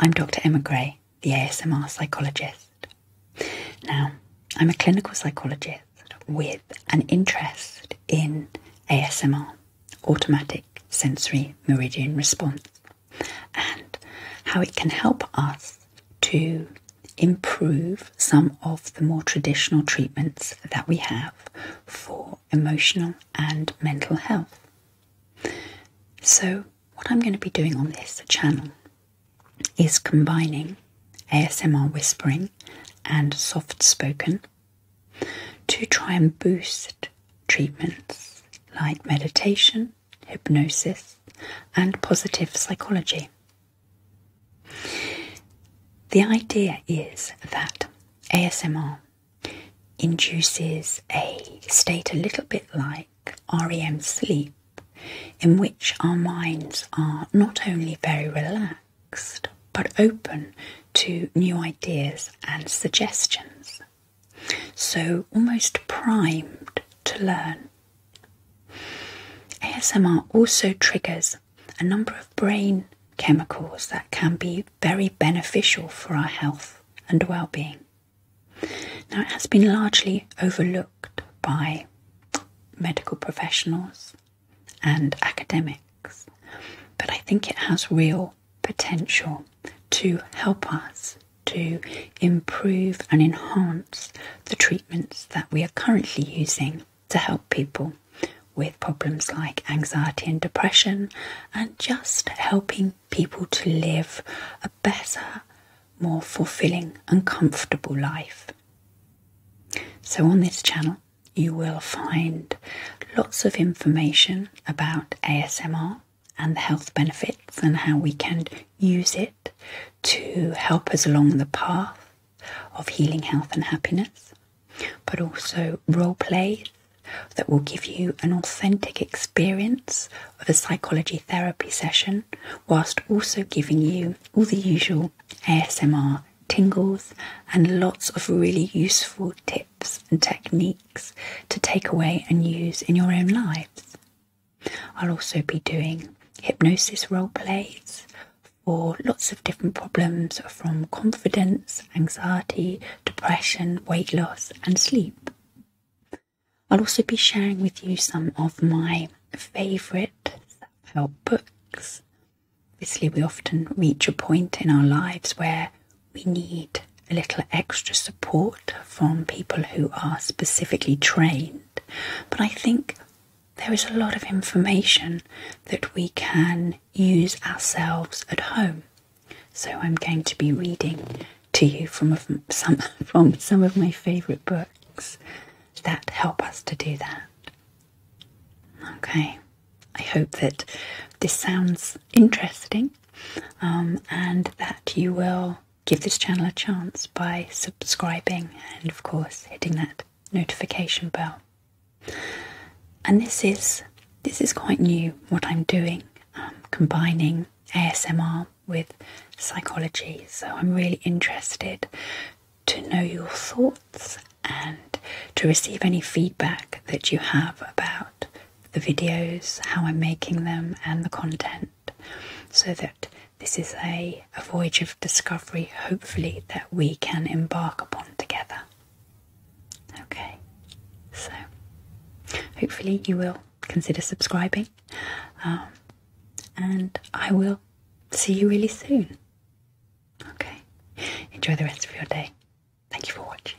I'm Dr. Emma Gray, the ASMR psychologist. Now, I'm a clinical psychologist with an interest in ASMR, automatic sensory meridian response, and how it can help us to improve some of the more traditional treatments that we have for emotional and mental health. So, what I'm going to be doing on this channel is combining ASMR whispering and soft spoken to try and boost treatments like meditation, hypnosis, and positive psychology. The idea is that ASMR induces a state a little bit like REM sleep, in which our minds are not only very relaxed but open to new ideas and suggestions. So, almost primed to learn. ASMR also triggers a number of brain chemicals that can be very beneficial for our health and well being. Now, it has been largely overlooked by medical professionals and academics, but I think it has real potential to help us to improve and enhance the treatments that we are currently using to help people with problems like anxiety and depression, and just helping people to live a better, more fulfilling, and comfortable life. So, on this channel, you will find lots of information about ASMR and the health benefits and how we can use it to help us along the path of healing health and happiness, but also role plays that will give you an authentic experience of a psychology therapy session, whilst also giving you all the usual ASMR tingles and lots of really useful tips and techniques to take away and use in your own lives. I'll also be doing hypnosis role plays for lots of different problems from confidence, anxiety, depression, weight loss, and sleep. I'll also be sharing with you some of my favourite self help books. Obviously, we often reach a point in our lives where we need a little extra support from people who are specifically trained. But I think there is a lot of information that we can use ourselves at home. So I'm going to be reading to you from some from some of my favorite books that help us to do that. Okay. I hope that this sounds interesting um, and that you will give this channel a chance by subscribing and, of course, hitting that notification bell. And this is this is quite new. What I'm doing, um, combining ASMR with psychology. So I'm really interested to know your thoughts and to receive any feedback that you have about the videos, how I'm making them, and the content so that this is a, a voyage of discovery, hopefully, that we can embark upon together. Okay, so hopefully, you will consider subscribing, um, and I will see you really soon. Okay, enjoy the rest of your day. Thank you for watching.